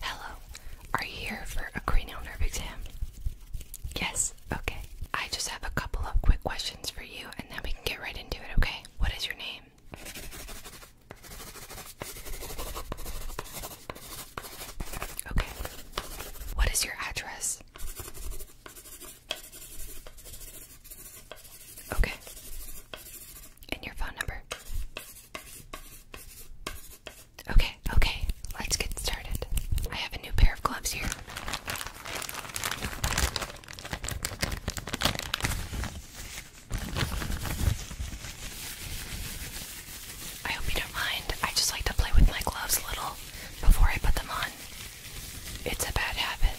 Hello, are you here for a cranial nerve exam? Yes, okay. I just have a couple of quick questions for you and then we can get right into it, okay? What is your name? Okay. What is your address? Okay. And your phone number? Okay, okay, let's get started. I have a new pair of gloves here. I hope you don't mind. I just like to play with my gloves a little before I put them on. It's a bad habit.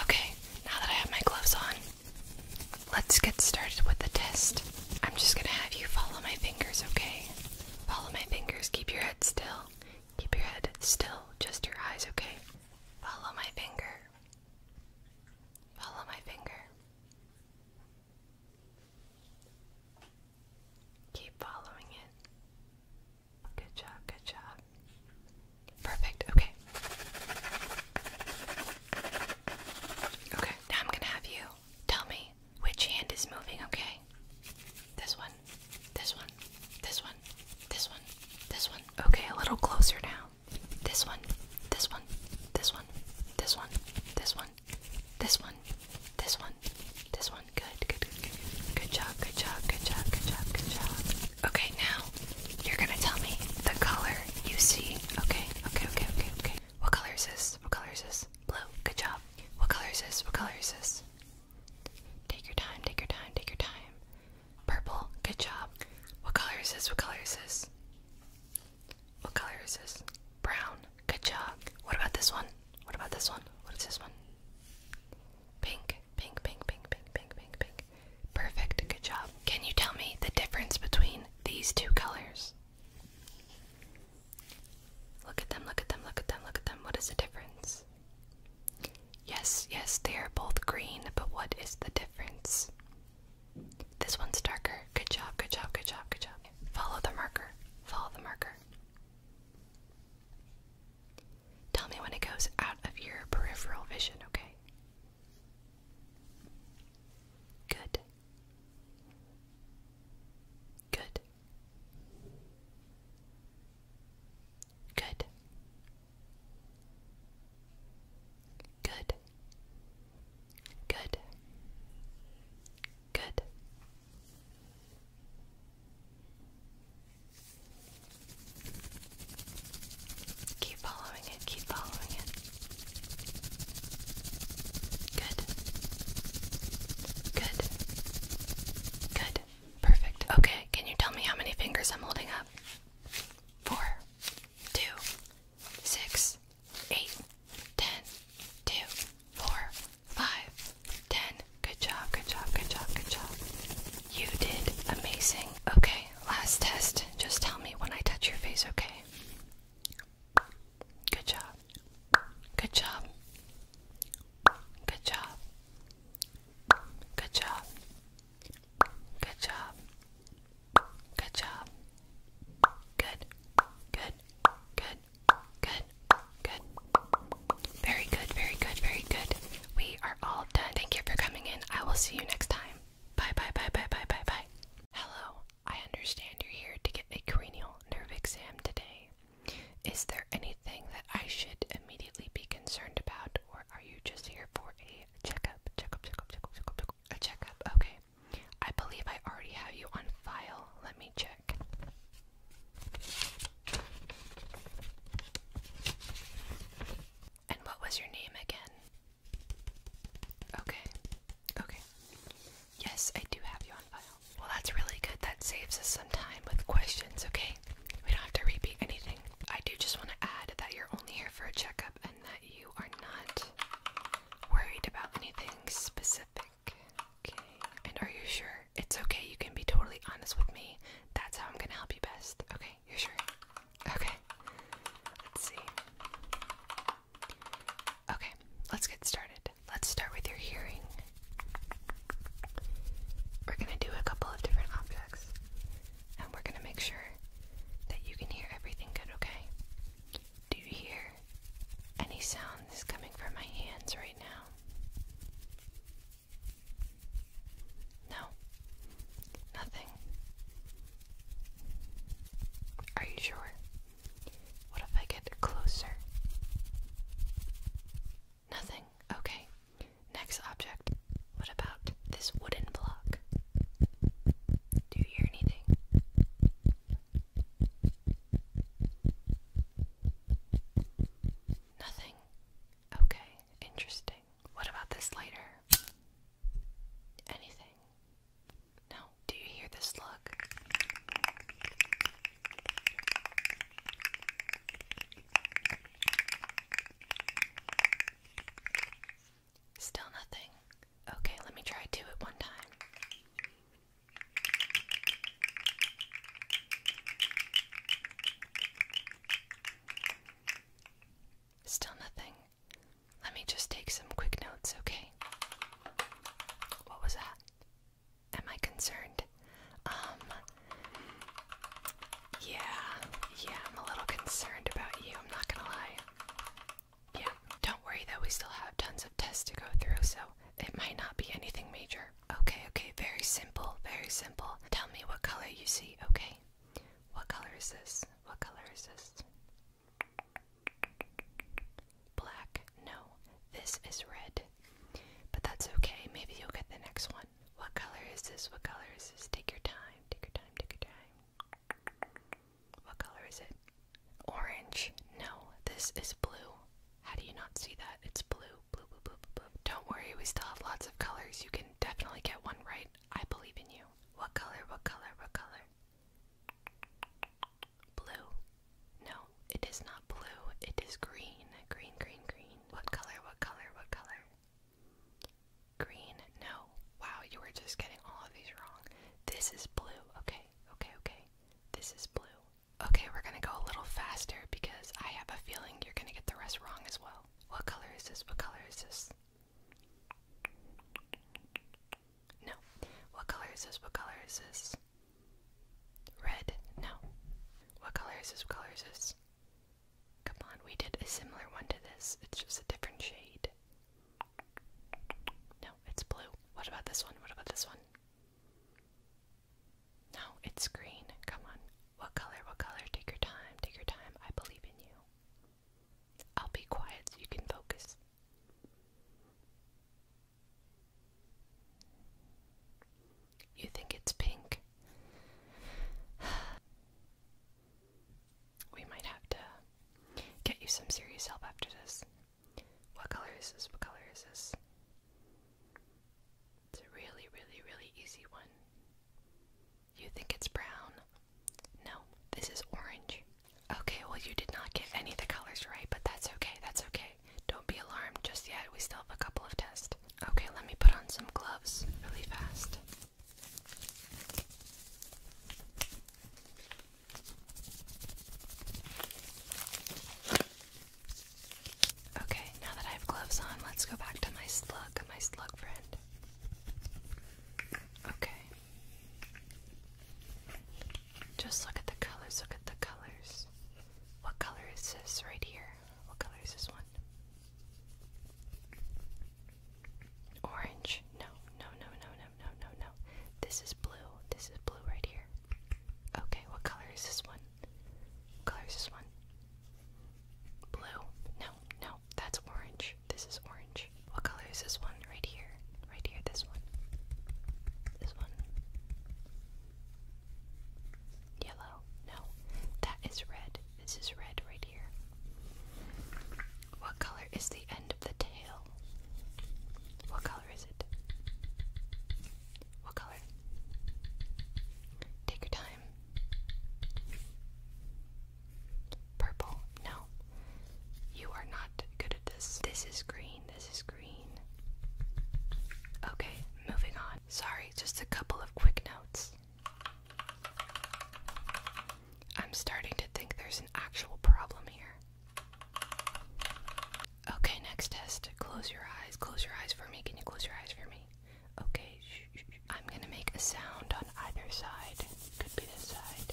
Okay, now that I have my gloves on, let's get started with the test. I'm just gonna have you follow my fingers, okay? Follow my fingers, keep your head still. Keep your head still, just your eyes, okay? Follow my finger. Follow my finger. Keep following it. Good job, good job. Perfect, okay. Okay, now I'm gonna have you tell me which hand is moving, okay? This one, this one, this one, this one, this one. Okay, a little closer now. This one, this one, this one, this one, this one, this one, this one. This one. This one. Good. Good. Good. Good. Good job. Good job. Good job. Good job. Good job. Okay, now you're gonna tell me the color you see. Okay. Okay. Okay. Okay. Okay. What color is this? What color is this? Blue. Good job. What color is this? What color is this? Take your time. Take your time. Take your time. Purple. Good job. What color is this? What color is this? What color is this? Brown. Good job. What about this one? What about this one? What is this one? Pink. Pink, pink, pink, pink, pink, pink, pink. Perfect. Good job. Can you tell me the difference between these two colors? Look at them, look at them, look at them, look at them. What is the difference? Yes, yes, they are both green, but what is the difference? This one's darker. Good job, good job, good job, good job. Follow the marker. Follow the marker. Tell me when it goes out of your peripheral vision, okay? Good. Good. Good. Good. Good. Good. Keep following it, keep following it. Good. Good. Good. Perfect. Okay, can you tell me how many fingers I'm holding up? Four, two, six, eight, ten, two, four, five, ten. Good job, good job, good job, good job. You did amazing. Okay, last test. Just tell me when I touch your face, okay? Good job. Good job. Good job. Good job. Good job. Good job. Good. Good. Good. Good. Good. Very good. Very good. Very good. We are all done. Thank you for coming in. I will see you next time. Bye bye bye bye bye bye bye. Hello. I understand you're here to get a cranial nerve exam today. Is there anything that I should immediately be concerned about, or are you just here for a checkup? Checkup, checkup, checkup, checkup, checkup. A checkup. Okay. I believe I already have you on file. Let me check. And what was your name again? Okay. Okay. Yes, I do have you on file. Well, that's really good. That saves us some time with questions, okay? We don't have to repeat anything. I do just want to add that you're only here for a checkup and that you are not worried about anything specific. Okay. And are you sure? It's okay. You can be totally honest with me. That's how I'm going to help you best. Okay. You're sure? Okay. Let's see. Okay. Let's get started. Let's start with your hearing. We're going to do a couple of different objects and we're going to make sure that you can hear everything good, okay? Do you hear any sounds coming from my hands right now? No, nothing. Are you sure? What if I get closer? Nothing. Okay. Next object. What about this wooden block? Do you hear anything? Nothing. Okay, interesting. What about this later? Anything? No. Do you hear this look? Still nothing. Okay, let me try two at one time. Still nothing. Let me just take some quick notes, okay? What was that? Am I concerned? Um, yeah, yeah, I'm a little concerned about you, I'm not gonna lie. Yeah, don't worry that we still have tons of tests to go through, so it might not be anything major. Okay, okay, very simple, very simple. Tell me what color you see, okay? What color is this? What color is this? Black. No, this is red. But that's okay, maybe you'll get the next one. What color is this? What color is this? Take your time, take your time, take your time. What color is it? Orange. No, this is blue. How do you not see that? It's blue. Blue, blue, blue, blue, Don't worry, we still have lots of colors. You can definitely get one right. I believe in you. What color? What color? What color? Blue. No, it is not blue. It is green. Green, green, green. What color? What color? What color? Green. No. Wow, you were just getting all of these wrong. This is blue. Okay, okay, okay. This is blue. Okay, we're gonna go a little faster because I have a feeling you're gonna get the rest wrong as well. What color is this? What color is this? No. What color is this? What color is this? Red? No. What color is this? What color is this? Come on, we did a similar one to this. It's just a different shade. No, it's blue. What about this one? What about this one? No, it's green. Come on. What color? What color? Take your time. Take your time. I believe in you. I'll be quiet so you can focus. You think it's pink? we might have to get you some serious help after this. What color is this? What color is this? It's a really, really, really easy one. You think it's brown? No, this is orange. Okay, well, you did not get any of the colors right, but that's okay, that's okay. Don't be alarmed just yet, we still have a couple of tests. Okay, let me put on some gloves really fast. Okay, now that I have gloves on, let's go back to my slug, my slug friend. Okay. Just look at the colors, look at the colors. What color is this right here? What color is this one? Orange? No. No, no, no, no, no, no, no, no. This is blue. This is blue right here. Okay, what color is this one? What color is this one? Blue. No, no, that's orange. This is orange. What color is this one right here? Right here, this one. This one. Yellow. No, that is red. This is red right here. What color is the end of the tail? What color is it? What color? Take your time. Purple. No. You are not good at this. This is green. This is green. Okay, moving on. Sorry, just a couple of quick notes. I'm starting to think there's an actual problem here. Okay, next test. Close your eyes. Close your eyes for me. Can you close your eyes for me? Okay, I'm gonna make a sound on either side. Could be this side.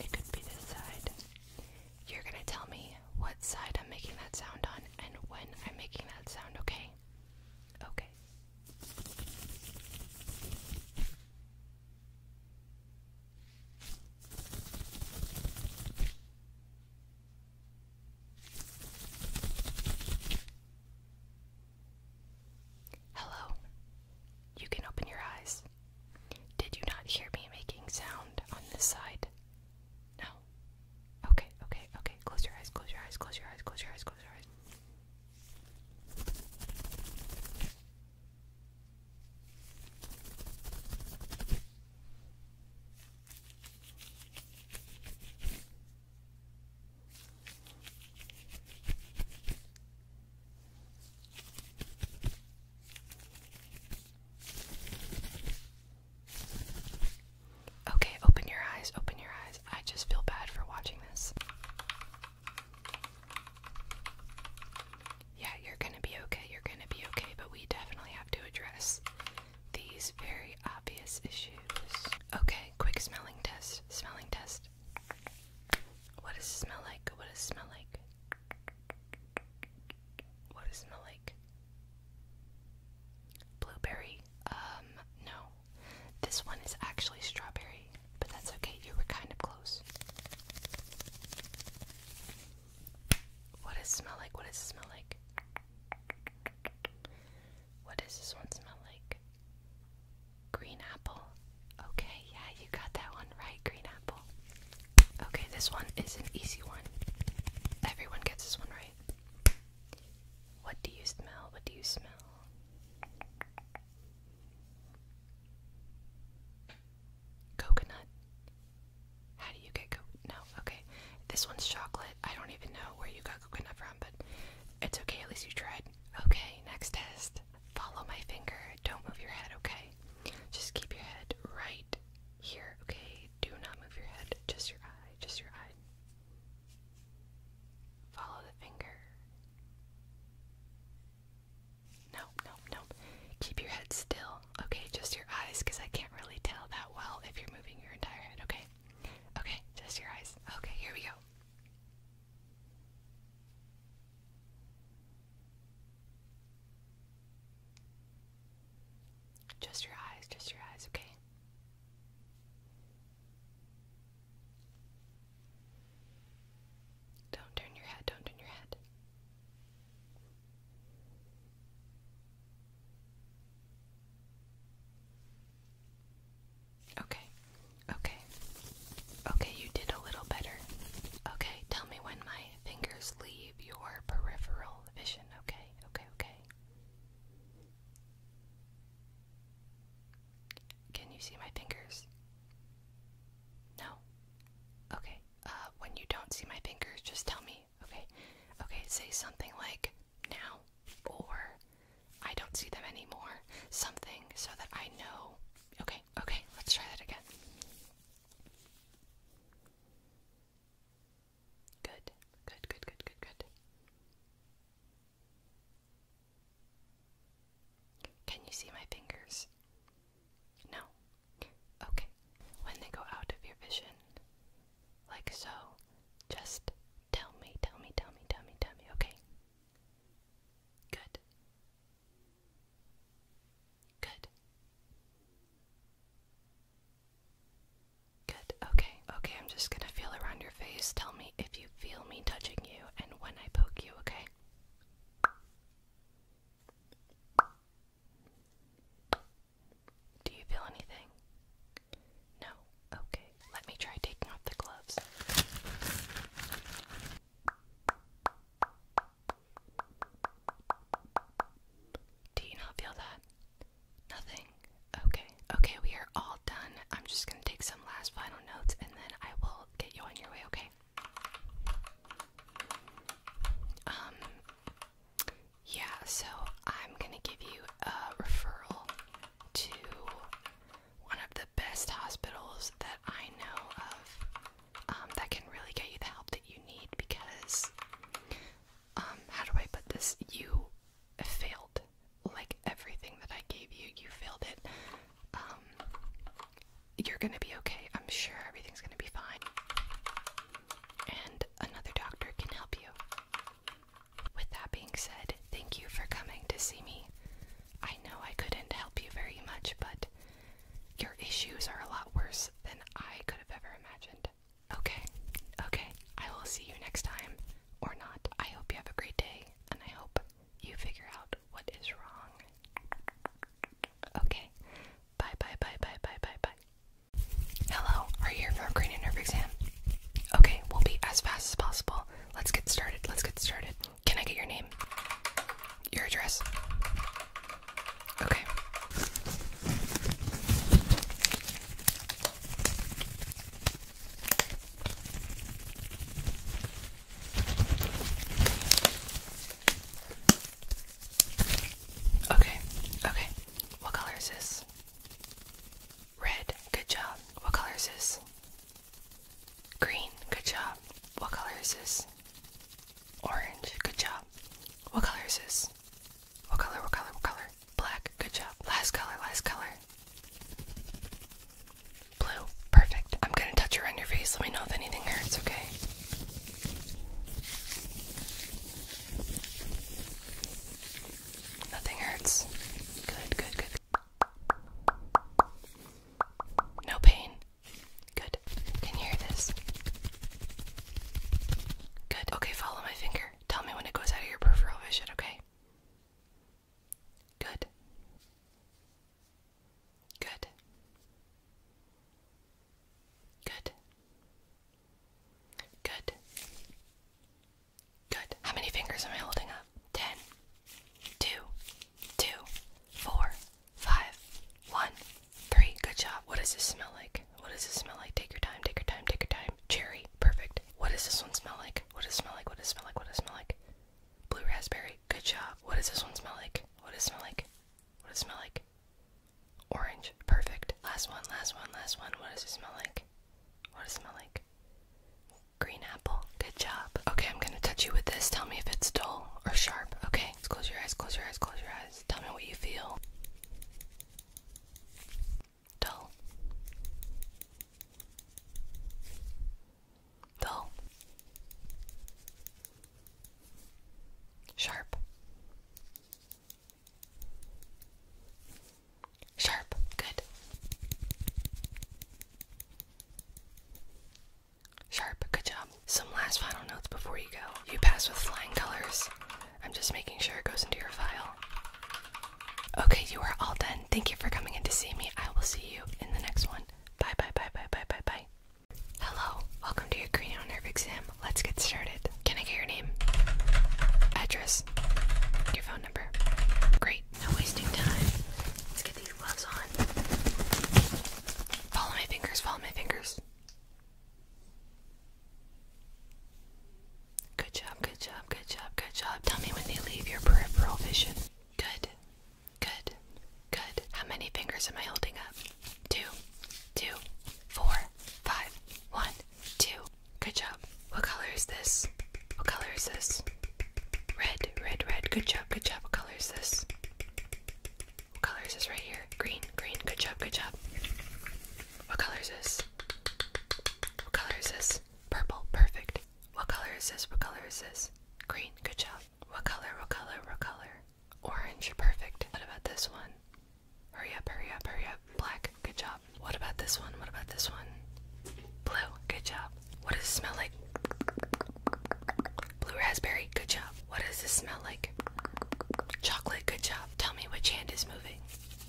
It could be this side. You're gonna tell me what side I'm making that sound on and when I'm making that sound, okay? Okay. Hello. You can open your eyes. Did you not hear me making sound on this side? No. Okay, okay, okay. Close your eyes, close your eyes, close your eyes, close your eyes, close your eyes. Okay, open your eyes, open your eyes. I just feel bad for watching this yeah, you're gonna be okay, you're gonna be okay, but we definitely have to address these very obvious issues. Okay, quick smelling test. Smelling test. What does it smell like? What does it smell like? What does it smell like? Blueberry. Um, no. This one is actually strawberry, but that's okay. You were kind of close. What does it smell like? What does it smell like? What does this one smell like? Green apple. Okay, yeah, you got that one right, green apple. Okay, this one is an easy one. Everyone gets this one right. What do you smell? What do you smell? Coconut? How do you get coconut? No, okay. This one's chocolate. I don't even know where you got coconut from, but it's okay. At least you tried. Okay, next test. Follow my finger. Don't move your head, okay? Just keep your head right here, okay? Do not move your head. Just your eye. Just your eye. Follow the finger. Nope, nope, nope. Keep your head still, okay? Just your eyes, because I can't really tell that well if you're moving your entire head, okay? Okay, just your eyes. Okay, here we go. Just your eyes, just your eyes, okay? Don't turn your head, don't turn your head. Okay, okay, okay, you did a little better. Okay, tell me when my fingers leave your peripheral vision, okay, okay, okay. Can you see my fingers? No? Okay. Uh, when you don't see my fingers, just tell me, okay? Okay, say something like now or I don't see them anymore. Something so that I know. Okay, okay, let's try that again. Good, good, good, good, good, good. Can you see my fingers? No. Okay. When they go out of your vision, like so, just tell me, tell me, tell me, tell me, tell me, okay? Good. Good. Good. Okay. Okay, I'm just gonna feel around your face. Tell me if you feel me touching you and when I poke you, okay? Do you feel anything? No. Okay, let me try taking off the gloves. Do you not feel that? Nothing. Okay, okay, we are all done. I'm just gonna take some last final notes and then I will get you on your way, okay? Um, yeah, so I'm gonna give you a referral to one of the best hospitals that I know of um, that can really get you the help that you need because, um, how do I put this? You failed like everything that I gave you, you failed it. Um, you're gonna be okay. I'm sure everything's gonna be fine and another doctor can help you. With that being said, thank you for coming to see me. I know I couldn't help you very much, but your issues are a lot worse than I could have ever imagined. Okay, okay, I will see you next time, or not. I hope you have a great day, and I hope you figure out what is wrong. Okay. Bye bye bye bye bye bye bye. Hello, are you here for a cranial nerve exam? Okay, we'll be as fast as possible. Let's get started. Let's get started. Can I get your name? Your address? Okay. Okay, okay. What color is this? Red, good job. What color is this? Green, good job. What color is this? Orange, good job. What color is this? What color, what color, what color? Black, good job. Last color, last color. Blue, perfect. I'm gonna touch around your face. Let me know if anything hurts, okay? Nothing hurts. Good, good, good. No pain. Good. Can you hear this? Good. Okay, follow my finger. Tell me when it goes out of your peripheral vision, okay? Good. Good. Good. Good. Good. How many fingers am I holding up? Ten. Two. Two. Four. Five. One. Three. Good job. What does this smell like? What does this smell like? Take your time, take your time, take your time. Cherry. Perfect. What does this one smell like? What does it smell like? What does it smell like? What does it smell like? Blue raspberry. Good job. What does this one smell like? What does it smell like? What does it smell like? Orange. Perfect. Last one, last one, last one. What does it smell like? What does it smell like? Green apple. Good job. Okay, I'm gonna touch you with this. Tell me if it's dull or sharp. Okay, close your eyes, close your eyes, close your eyes. Tell me what you feel. Dull. Dull. Sharp. Sharp. Good. Sharp. Good job. Some last final notes before you go. You pass with flying colors. I'm just making sure it goes into your file. Okay, you are all done. Thank you for coming in to see me. I will see you in the next one. Bye, bye, bye, bye, bye, bye, bye. Hello, welcome to your cranial nerve exam. Let's get started. Can I get your name? Address? Your phone number? Great, no wasting time. Let's get these gloves on. Follow my fingers, follow my fingers. Good job, good job, good job, good job. Tell me when they leave your peripheral vision. Good, good, good. How many fingers am I holding up? two, two, four, five, one, two. Good job. What color is this? What color is this? Red, red, red. Good job, good job. What color is this? What color is this right here? Green, green. Good job, good job. What color is this? What color is this? Purple, perfect. What color is this? What color is this? Green, good job. What color, what color, what color? Orange, perfect. What about this one? Hurry up, hurry up, hurry up. Black, good job. What about this one? What about this one? Blue, good job. What does it smell like? Blue raspberry, good job. What does this smell like? Chocolate, good job. Tell me which hand is moving.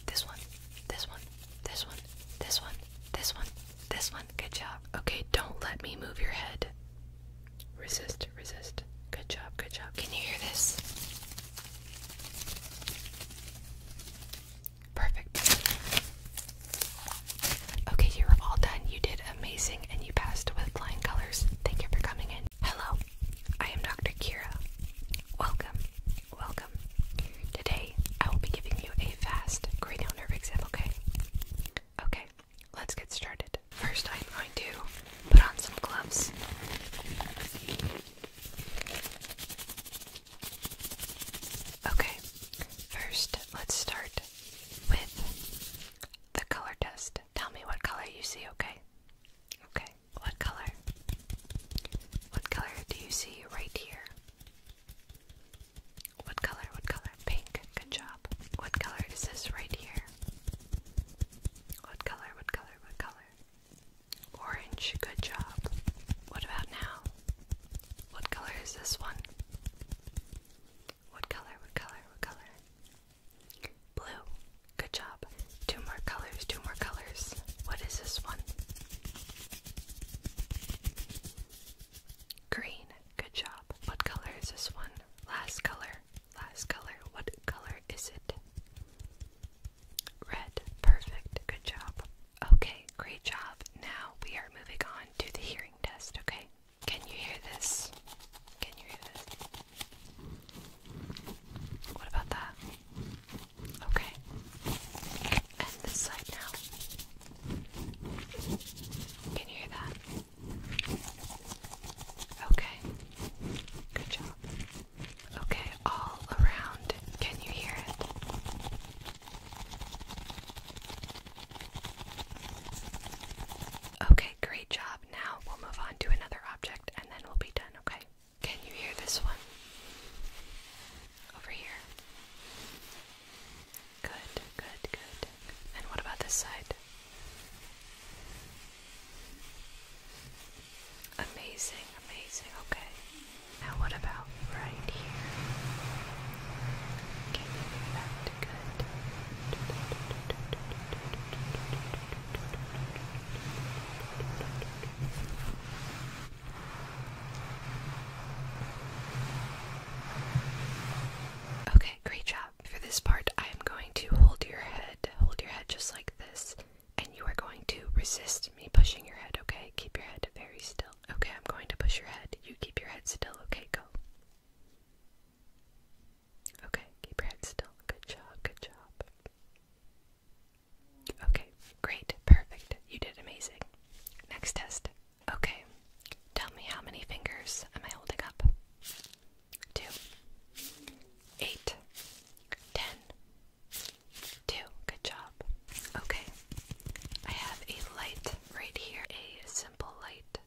This one, this one, this one, this one, this one, this one, good job. Okay, don't let me move your head. Resist, resist. Good job, good job. Can you hear this? Perfect. Okay, you're all done. You did amazing and you passed with flying colors. Thank you for coming in. Hello, I am Dr. Kira. Welcome, welcome. Today, I will be giving you a fast cranial nerve exam, okay? Okay, let's get started. First, I'm going to put on some gloves. Okay, first, let's start with the color test. Tell me what color you see, okay? Okay, what color? What color do you see right here? What color? What color? Pink. Good job. What color is this right here? What color? What color? what color? Orange, good job. What about now? What color is this one? What color, what color, what color? Blue, good job. Two more colors, two more colors. What is this one? Green, good job. What color is this one? Last color. Last color. What color is it? Red. Perfect. Good job. Okay, great job. Now we are moving on to the hearing test, okay? Can you hear this? Can you hear this? What about that? Okay. And this side now. Can you hear that? Okay. Good job. Okay, all around. Can you hear it? Okay, great job. Now we'll move on to another object and then we'll be done, okay? Can you hear this one? Over here. Good, good, good. And what about this side? Amazing, amazing. Okay. Now what about right here? Can you to good? Okay, great job for this part, I am going to hold your head, hold your head just like this, and you are going to resist me pushing your head, okay? Keep your head very still. Okay, I'm going to push your head. You keep your head still, okay? Go. Okay, keep your head still. Good job, good job. Okay, great, perfect. You did amazing. Next test. Okay, tell me how many fingers am I holding up? two, eight, ten, two. Good job. Okay, I have a light right here, a simple light.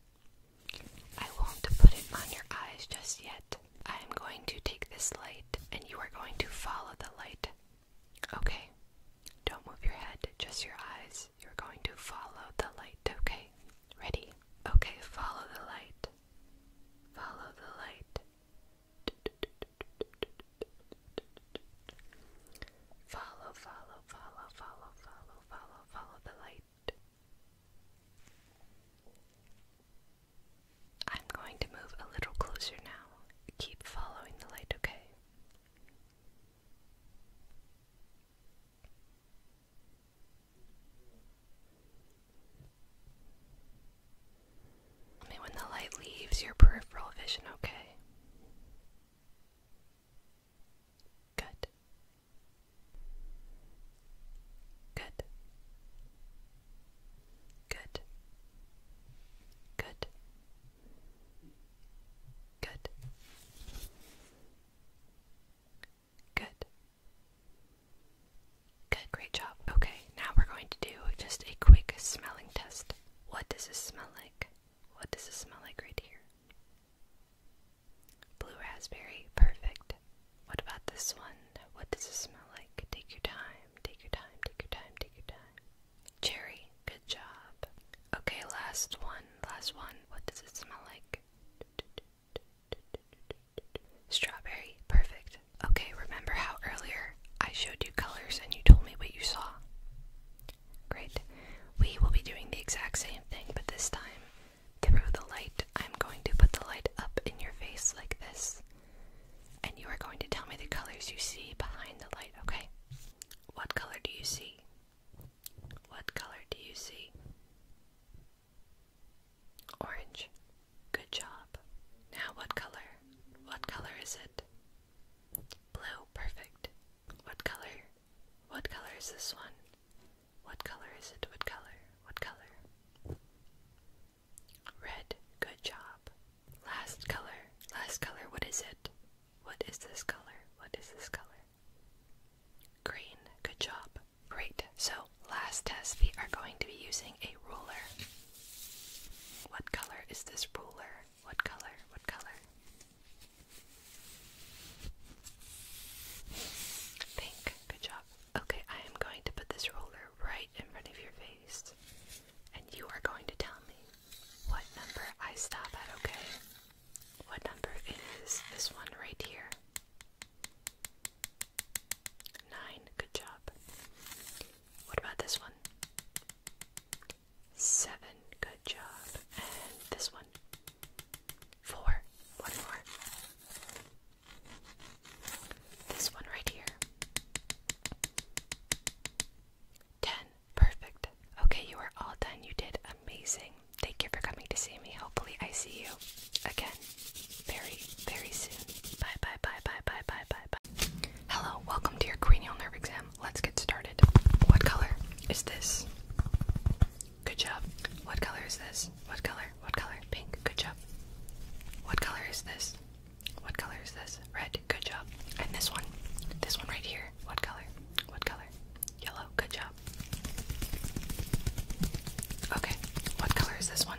I won't put it on your eyes just yet. I'm going to take this light and you are going to follow the light. Okay, don't move your head, just your eyes. You're going to follow the light, okay? Ready? Okay, follow the light. Follow the light. Follow, follow, follow, follow, follow, follow, follow the light. I'm going to move a little closer now. Keep following the light, okay? when the light leaves your peripheral vision, okay? Good. Good. Good. Good. Good. Good. Good, great job. Okay, now we're going to do just a quick smelling test. What does this smell like? What does this smell like right here? Blue raspberry, perfect. What about this one? What does this smell like? Take your time, take your time, take your time, take your time. Cherry, good job. Okay, last one, last one. What does it smell like? Strawberry, perfect. Okay, remember how earlier I showed you colors and you told me what you saw? Great. We will be doing the exact same thing, but this time, through the light, I'm going to put the light up in your face like this, and you are going to tell me the colors you see behind the light, okay? What color do you see? What color do you see? Orange. Good job. Now what color? What color is it? Blue. Perfect. What color? What color is this one? What color is it? What color? What color? Red. Good job. Last color. Last color. What is it? What is this color? What is this color? Green. Good job. Great, so last test we are going to be using a ruler. What color is this ruler? What color? What color? Pink, good job. Okay, I am going to put this ruler right in front of your face. And you are going to tell me what number I stop at, okay? What number is this one right here? Nine. Good job. What about this one? Seven. Good job. And this one? Four. One more. This one right here. Ten. Perfect. Okay, you are all done. You did amazing. Thank you for coming to see me. Hopefully, I see you again very, very soon. Bye, bye, bye, bye, bye, bye, bye, bye. Hello, welcome to your cranial nerve exam. Let's get started. What color is this? Good job. What color is this? What color? What color? Pink. Good job. What color is this? What color is this? Red. Good job. And this one? This one right here. What color? What color? Yellow. Good job. Okay. What color is this one?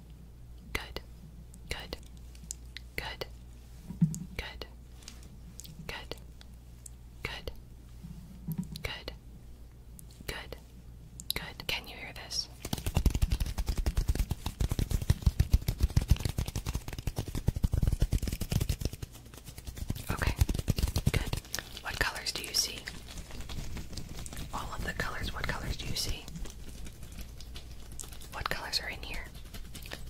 Good. Good. Good. Good. Good. Good. Good. Good. Good. Can you hear this? Okay. Good. What colors do you see? All of the colors. What colors do you see? What colors are in here?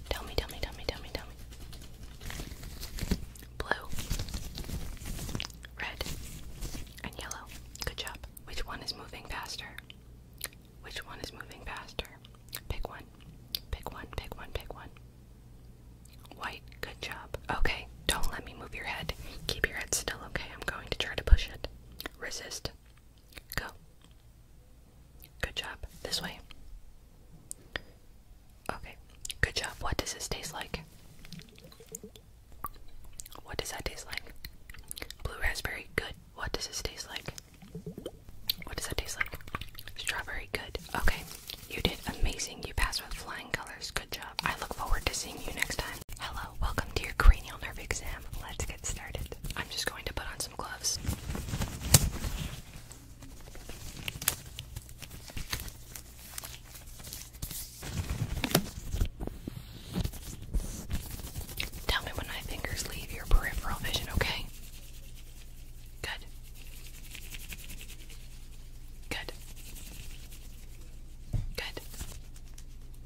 Tell me, tell me, tell me, tell me, tell me. Blue, red, and yellow. Good job. Which one is moving faster? Which one is moving faster? Pick one. Pick one, pick one, pick one. White, good job. Okay, don't let me move your head. Keep your head still, okay? I'm going to try to push it. Resist. Go. Good job. This way. Okay. Good job. What does this taste like? What does that taste like? Blue raspberry. Good. What does this taste like? What does that taste like? Strawberry. Good. Okay. You did amazing. You passed with flying colors. Good job. I look forward to seeing you next time. Hello. Welcome to your cranial nerve exam. Let's I'm just going to put on some gloves. Tell me when my fingers leave your peripheral vision, okay? Good. Good. Good.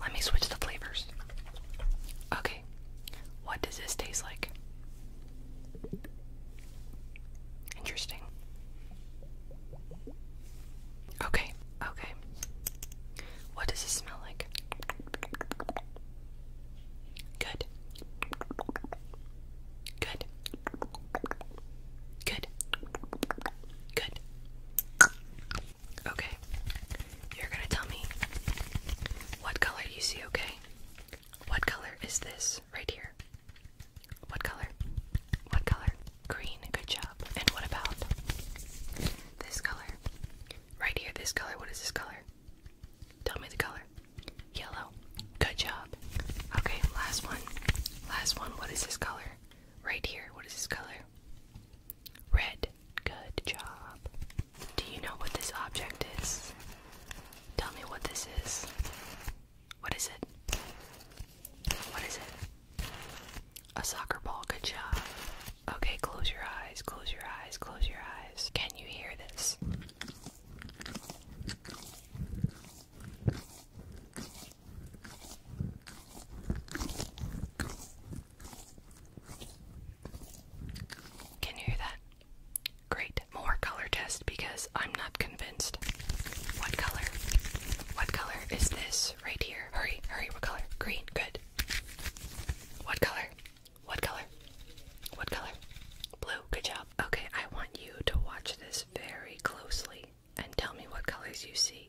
Let me switch the flavors. Okay, what does this taste like? Interesting. Okay, okay. What does this smell like? Good. Good. Good. Good. Okay. You're gonna tell me what color you see, okay? What color is this right here? What color? What color? Green. Good job. And what about this color? Right here, this color. What is this color? Tell me the color. Yellow. Good job. Okay, last one. Last one. What is this color? Right here. What is this color? Red. Good job. Do you know what this object is? Tell me what this is. What is it? What is it? A soccer ball. Good job. Okay, close your eyes, close your eyes, close your eyes. Can you hear this? Can you hear that? Great. More color test because I'm not convinced. What color? What color is this right here? Hurry, hurry. What color? Green. Good. What color? What color? What color? Blue. Good job. Okay, I want you to watch this very closely and tell me what colors you see.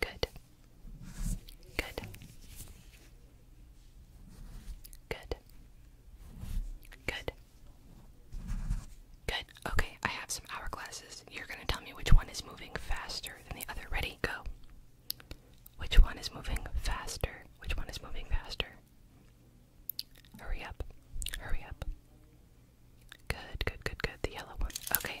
Good. Good. Good. Good. Good. Okay, I have some hourglasses. You're going to tell me which one is moving faster than the other. Ready? Go. Which one is moving faster? Which one is moving faster? Hurry up. Hurry up. Good, good, good, good. The yellow one. Okay.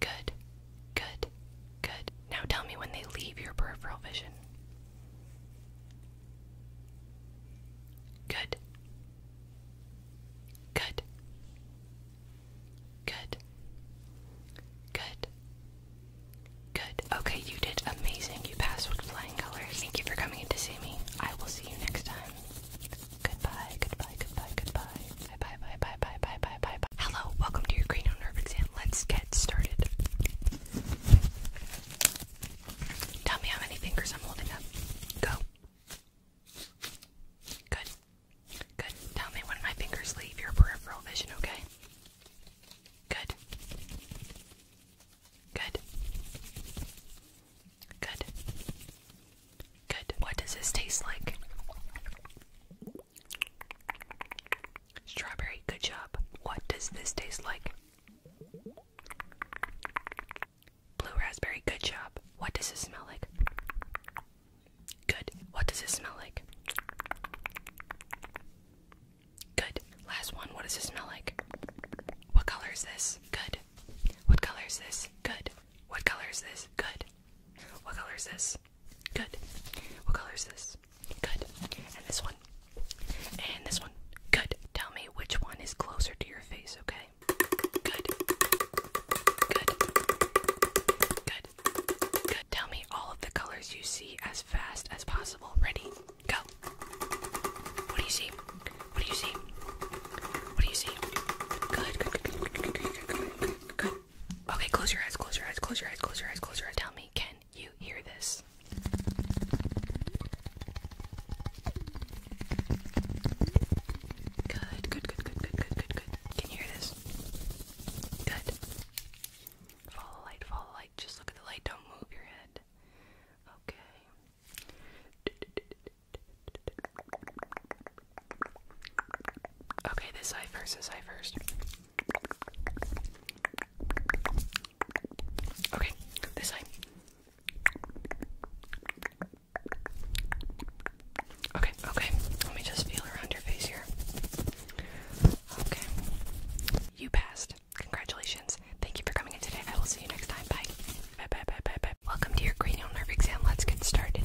Good, good, good. Now tell me when they leave your peripheral vision. Good, good, good, good, good. Okay, you did amazing. You passed with flying colors. Thank you for coming in to see me. I will see you next time. Goodbye, goodbye, goodbye, goodbye. Bye bye bye bye bye bye bye bye bye. Hello, welcome to your cranial nerve exam. Let's get started. Tell me how many fingers I'm holding up. Go. Good. Good. Tell me when my fingers leave your peripheral vision, okay? Good. Good. Good. Good. What does this taste like? Strawberry, good job. What does this taste like? Blue raspberry, good job. What does this smell like? Good. What does this smell like? Good. Last one. What does it smell like? What color is this? Good. What color is this? Good. What color is this? Good. What color is this? Good. What color is this? Good. And this one? And this one? Good. Tell me which one is closer to your face, okay? Good. Good. Good. Good. Tell me all of the colors you see as fast as possible. Ready? Go. What do you see? What do you see? What do you see? good, good, good, good, good, good. Okay, close your eyes, close your eyes, close your eyes, close your eyes, close your eyes. Tell me, can you hear this? Good, good, good, good, good, good, good, good. Can you hear this? Good. Follow the light, follow the light. Just look at the light, don't move your head. Okay. Okay, this eye first, this eye first. Okay, this side. Okay, okay. Let me just feel around your face here. Okay. You passed. Congratulations. Thank you for coming in today. I will see you next time. Bye bye bye bye bye. Welcome to your cranial nerve exam. Let's get started.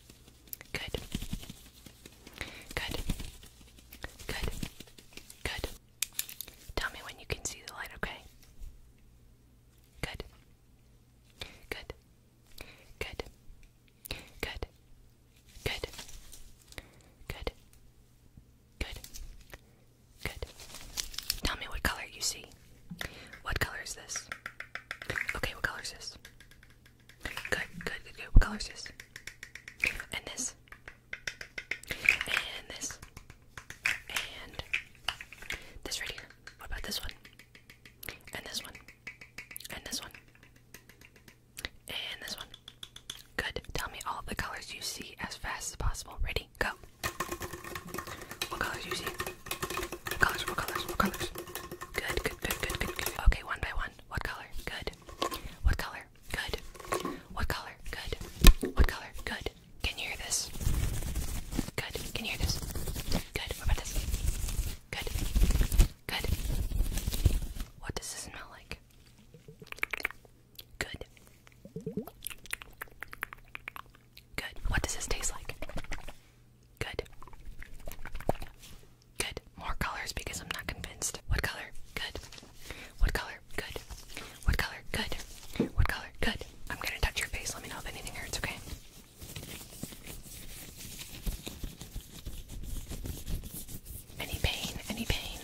Good. Good. Good. Good. Tell me when you can see the light, okay? Good. Good. Good. Good. Good. Good. Good. Good. Tell me what color you see. What color is this? Okay, what color is this? Good, good, good, good. What color is this? And this. And this. And this right here. What about this one? And this one. And this one. And this one. Good. Tell me all of the colors you see as fast as possible. Ready? Go. What colors do you see? What colors? What colors? What colors? Good, good, good, good, good, good. Okay, one by one. What color? Good. What color? Good. What color? Good. What color? Good. Can you hear this? Good. Can you hear this? Good. What about this? Good. Good. What does this smell like? Good. Good. What does this taste like? Good. Good. More colors because I'm not convinced. What color? Good. What color? Good. What color? Good. What color? Good. I'm gonna touch your face. Let me know if anything hurts, okay? Any pain? Any pain?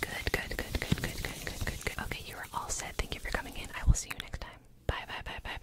Good, good, good, good, good, good, good, good, Okay, you are all set. Thank you for coming in. I will see you next time. Bye, bye, bye, bye,